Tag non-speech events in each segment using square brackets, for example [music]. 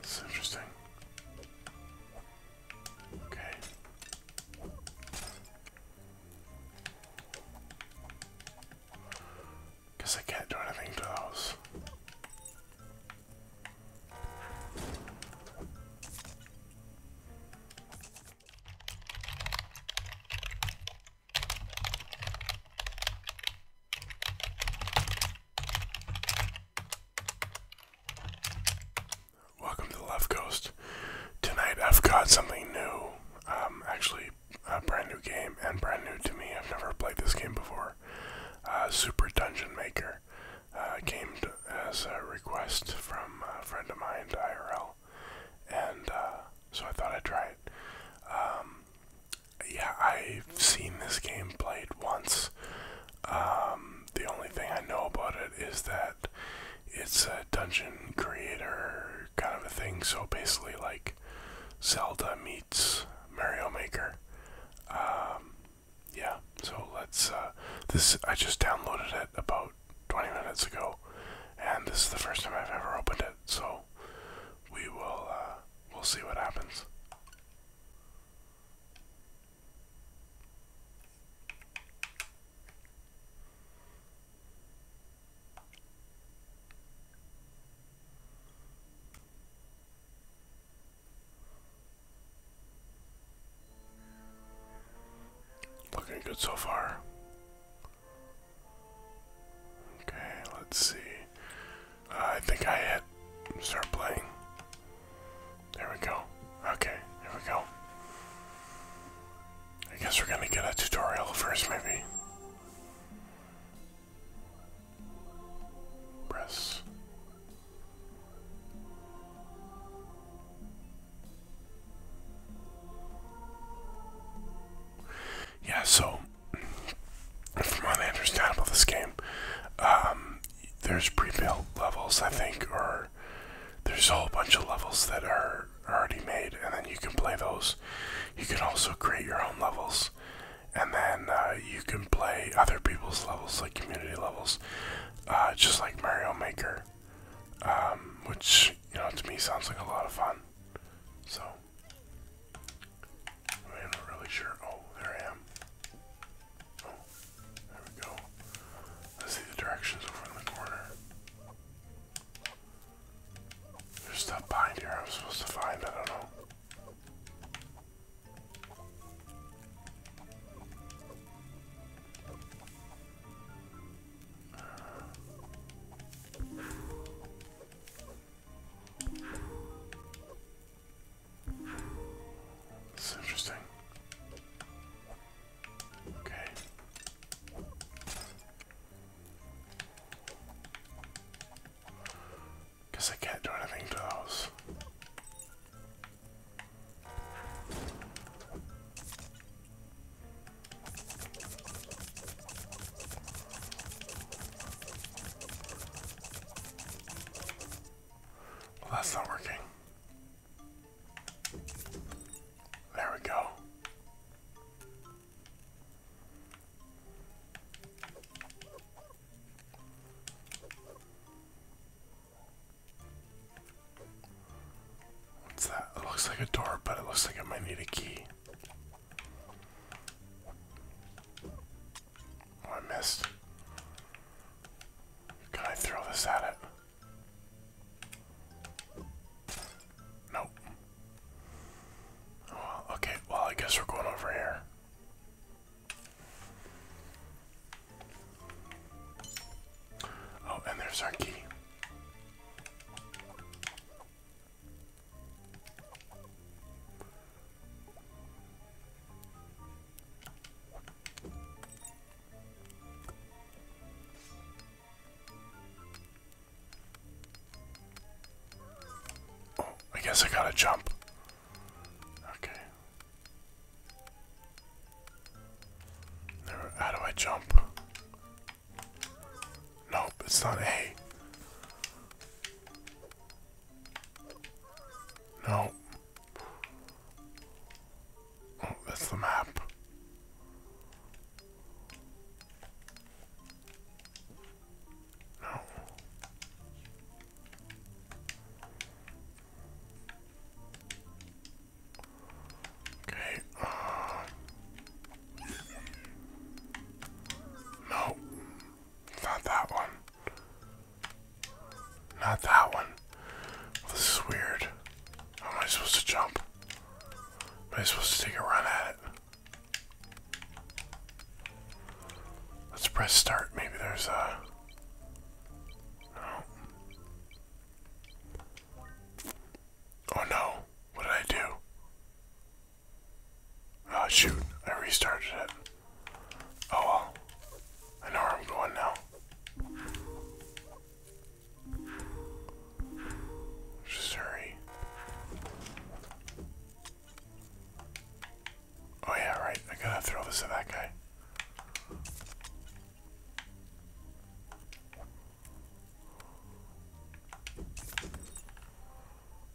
It's interesting. Okay. Guess I can't do anything to those. Welcome to the Left Coast. Tonight I've got something new. Um, actually, a brand new game and brand new to me. I've never played this game before. Uh, Super Dungeon Maker uh, came as a request from a friend of mine, IRL, and uh, so I thought I'd try it. Um, yeah, I've seen this game played once. Um, the only thing I know about it is that it's a dungeon creator kind of a thing. So basically, like Zelda meets Mario Maker. Um, yeah. So let's. Uh, this I just downloaded it about 20 minutes ago, and this is the first time I've ever opened it. So we will. Uh, We'll see what happens. Looking good so far. Okay, let's see. I think I hit start playing. There we go. Okay, here we go. I guess we're gonna get a tutorial first, maybe. Press yeah, so from what I understand about this game, um, there's pre-built levels, I think, or there's a whole bunch of levels that are already made, and then you can play those. You can also create your own levels, and then uh, you can play other people's levels, like community levels, uh, just like Mario Maker, um, which you know to me sounds like a lot of fun. So. I'm not really sure. Oh, there I am. Oh, there we go. I see the directions over in the corner. There's stuff behind here I was supposed to find, I don't know. This interesting. Okay. Guess I can't do anything to those that's not working. There we go. What's that? It looks like a door, but it looks like it might need a key. Oh, I missed. Can I throw this at it? Nope. Oh, okay, well, I guess we're going over here. Oh, and there's our key. Oh, I guess I gotta jump. Okay. how do I jump? Nope, it's not A. No. Oh, that's the map. No. Okay. Uh. no. not that one. Not that one. this is weird. How am I supposed to jump? Am I supposed to take a run at it? Let's press start. Maybe there's a... Oh no. What did I do? Oh shoot, I restarted it. Oh well. I know where I'm going now. Just hurry. Oh yeah, right. I gotta throw this at that guy.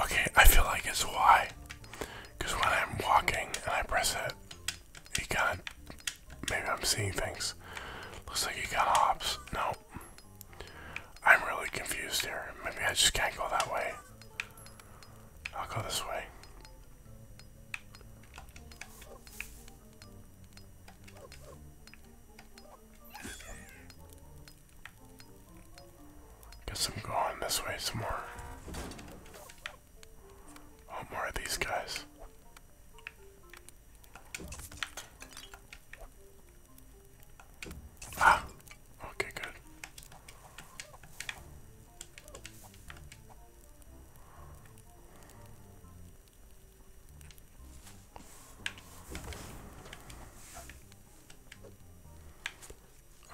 Okay, I feel like it's why. Because when I'm walking and I press it, he kind Maybe I'm seeing things. Looks like he got of hops. No. I'm really confused here. Maybe I just can't go that way. I'll go this way. Guess I'm going this way some more. Oh, more of these guys. Ah! Okay, good.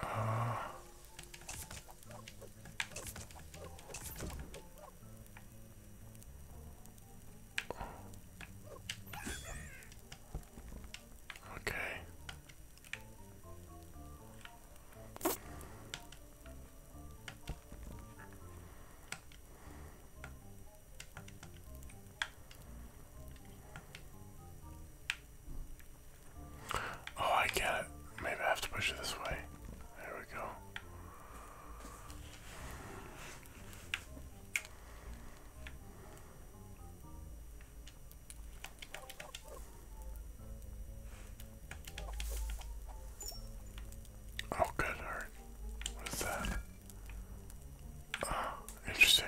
Uh, okay. Oh, I get it. Maybe I have to push it this way. There we go. Oh, good What is that? Oh, interesting.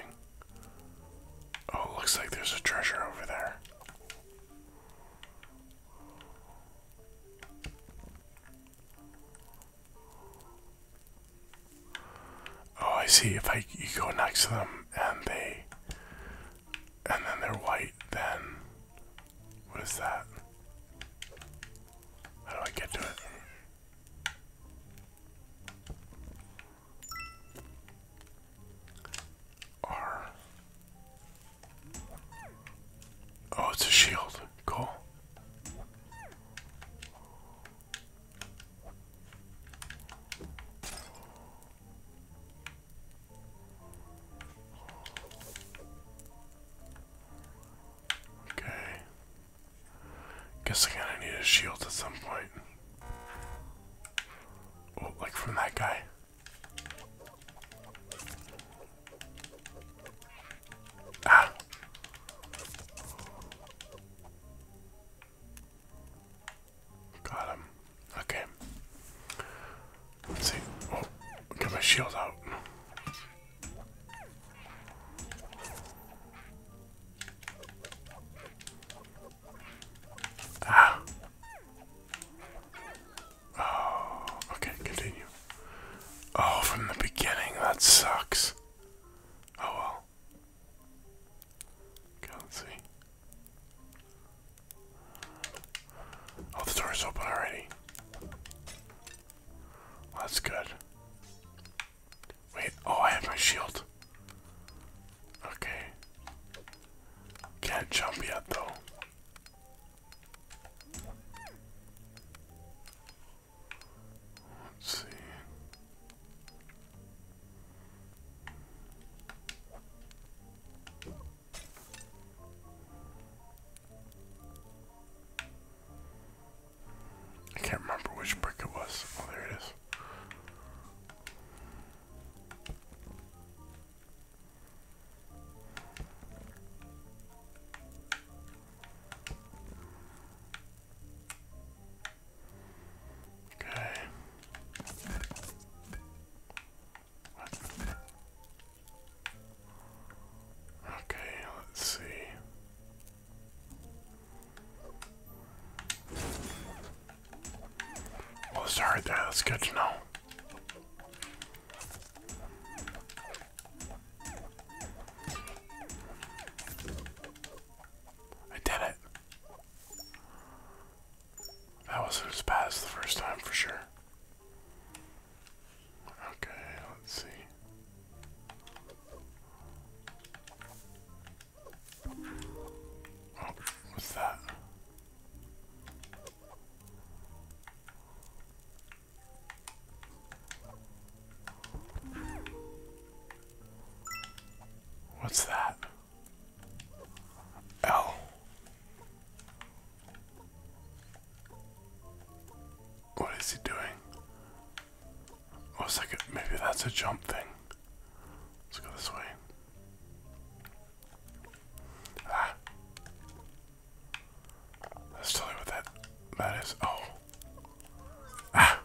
Oh, looks like there's a treasure over there. Oh, I see. If I you go next to them and they and then they're white, then what is that? How do I get to it? R. Oh, it's a shield. Cool. Okay. Guess I'm gonna need a shield at some point. Oh, like from that guy. Ah. Got him. Okay. Let's see. Oh, get my shield out. Ah. Oh, okay, continue. Oh, from the beginning, that sucks. Oh well. Okay, let's see. Oh, the door's open already. that's good. Wait, oh, I have my shield. Okay. Can't jump yet though. Let's see. I can't remember which brick it was. Oh, there it is. Okay. Okay, let's see. Well, oh, sorry there, that's good to know. I did it. That wasn't as bad as the first time for sure. Okay, let's see. Oh, what's that? What's that? Oh. What is he doing? Oh, it's maybe that's a jump thing. Let's go this way. Ah. Let's tell you what that that is. Oh. Ah.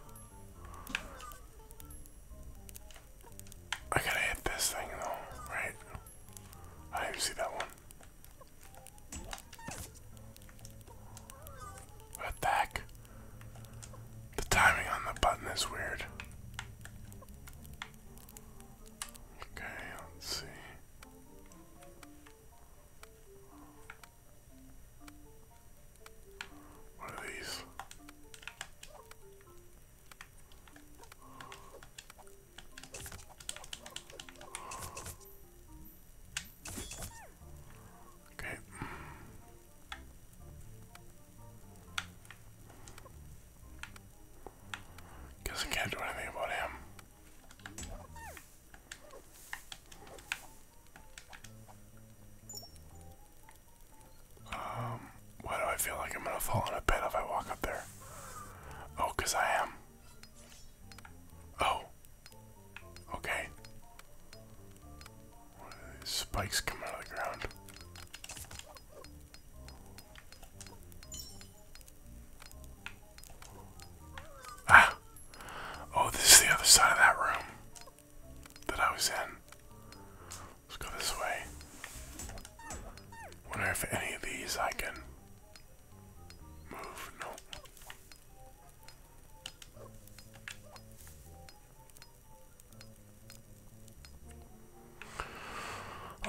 I gotta hit this thing though, right? I didn't see that one. What the heck? The timing on the button is weird. Okay, let's see. What are these? Okay. Because I can't do anything about him. Um, why do I feel like I'm gonna fall in a pit if I walk up there? Oh, I am. Oh. Okay. spikes coming out of the ground? Ah. Oh, this is the other side of that room that I was in. Let's go this way. Wonder if any of these I can move. No.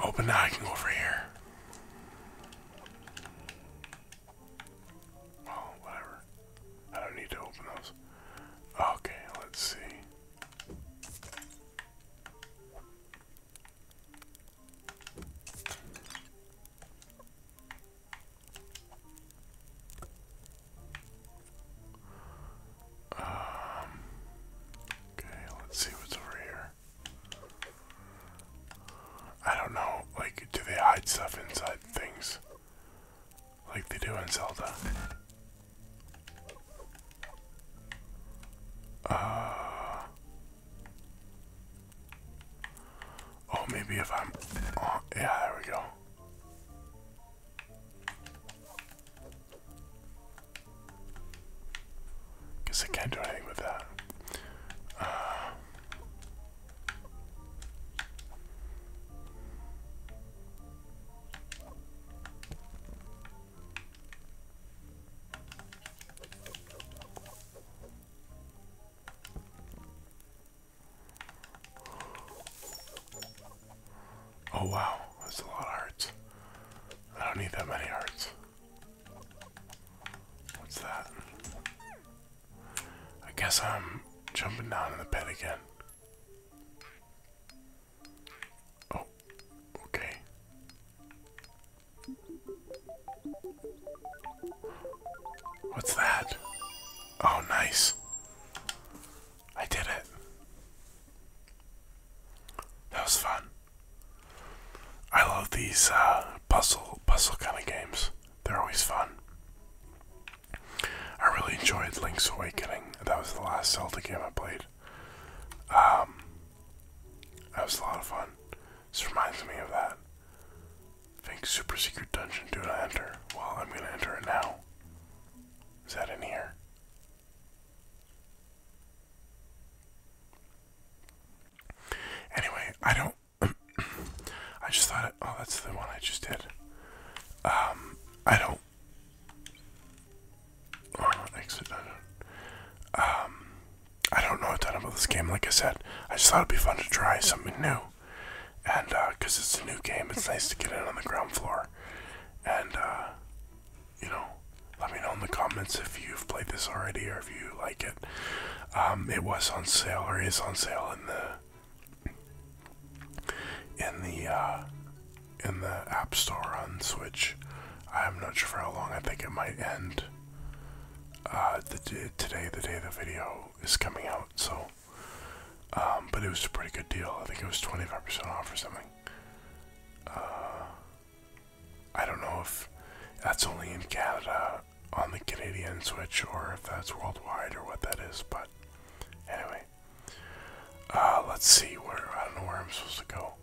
Open but now I can go over here. Well, oh, whatever. I don't need to open those. Okay, let's see. Um, okay, let's see what's over here. I don't know, like, do they hide stuff inside things? Like they do in Zelda. Uh, oh, maybe if I'm. Oh, yeah, there we go. Guess I can't do anything with that. Uh, oh wow, that's a lot of hearts. I don't need that many hearts. What's that? I guess I'm jumping down in the pit again. Oh, okay. What's that? Oh, nice. I did it. That was fun. I love these uh, puzzle puzzle kind of games. They're always fun. I really enjoyed Link's Awakening. That was the last Zelda game I played. Um, that was a lot of fun. This reminds me of that. think super secret dungeon do not enter. Well, I'm gonna enter it now. Is that in here? Anyway, I don't. [clears throat] I just thought, oh, that's the one I just did. Um, I don't. Oh, exit. I uh, don't. Um, I don't know a ton about this game. Like I said, I just thought it'd be fun to try something new, and because uh, it's a new game, it's nice to get in on the ground floor, and you know, let me know in the comments if you've played this already or if you like it. Um, it was on sale or is on sale in the in the uh, in the App Store on Switch. I'm not sure for how long. I think it might end uh, the, today, the day the video is coming out. So, um, but it was a pretty good deal. I think it was 25% off or something. Uh, I don't know if that's only in Canada on the Canadian Switch or if that's worldwide or what that is, but anyway. Uh, let's see where I don't know where I'm supposed to go.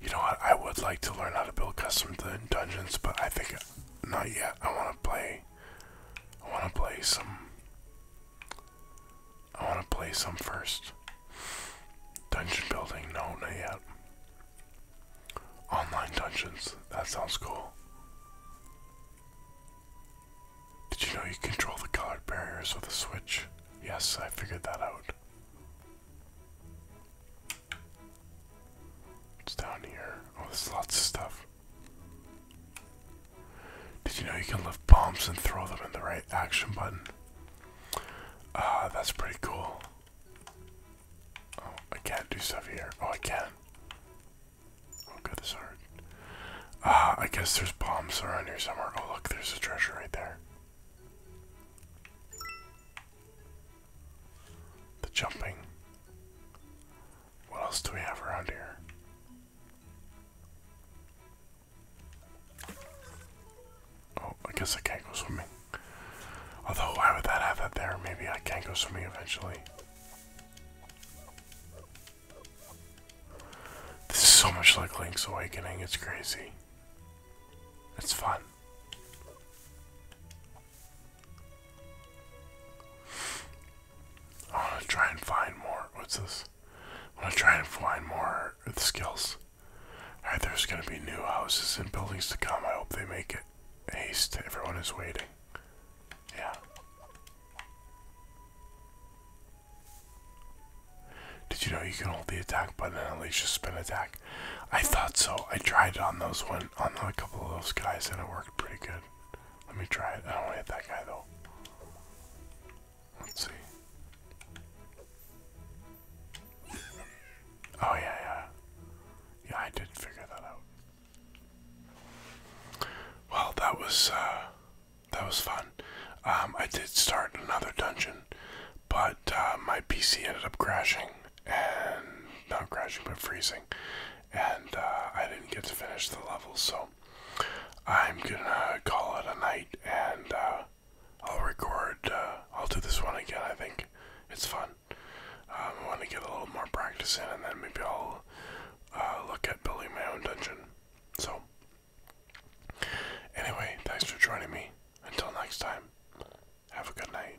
You know what? I would like to learn how to build custom dungeons, but I think not yet. I want to play. I want to play some I want to play some first. Dungeon building? No, not yet. Online dungeons. That sounds cool. Did you know you control the colored barriers with a switch? Yes, I figured that out. It's down here. Oh, there's lots of stuff. Did you know you can lift bombs and throw them in the right action button? Ah, that's pretty cool. Oh, I can't do stuff here. Oh, I can. Oh god, this hard. Ah, I guess there's bombs around here somewhere. Oh look, there's a treasure right there. The jumping. What else do we have around here? Oh, I guess I can't go swimming. Although, why would that have that there? Maybe I can not go swimming eventually. This is so much like Link's Awakening, it's crazy. It's fun. I want to try and find more. What's this? I'm gonna try and find more skills. Alright, uh, there's gonna be new houses and buildings to come. I hope they make it. Haste, everyone is waiting. Yeah. Did you know you can hold the attack button and unleash a spin attack? I thought so. I tried it on those one on a couple of those guys and it worked pretty good. Let me try it. I don't want to hit that guy though. Let's see. Oh, yeah, yeah. Yeah, I did figure that out. Well, that was, uh, that was fun. Um, I did start another dungeon, but uh, my PC ended up crashing and not crashing but freezing, and uh, I didn't get to finish the level, so I'm gonna call it a night and uh, I'll record. Uh, I'll do this one again. I think it's fun. Um, I want to get a little more practice in, and then maybe I'll uh, look at building my own dungeon. So, anyway, thanks for joining me. Until next time, have a good night.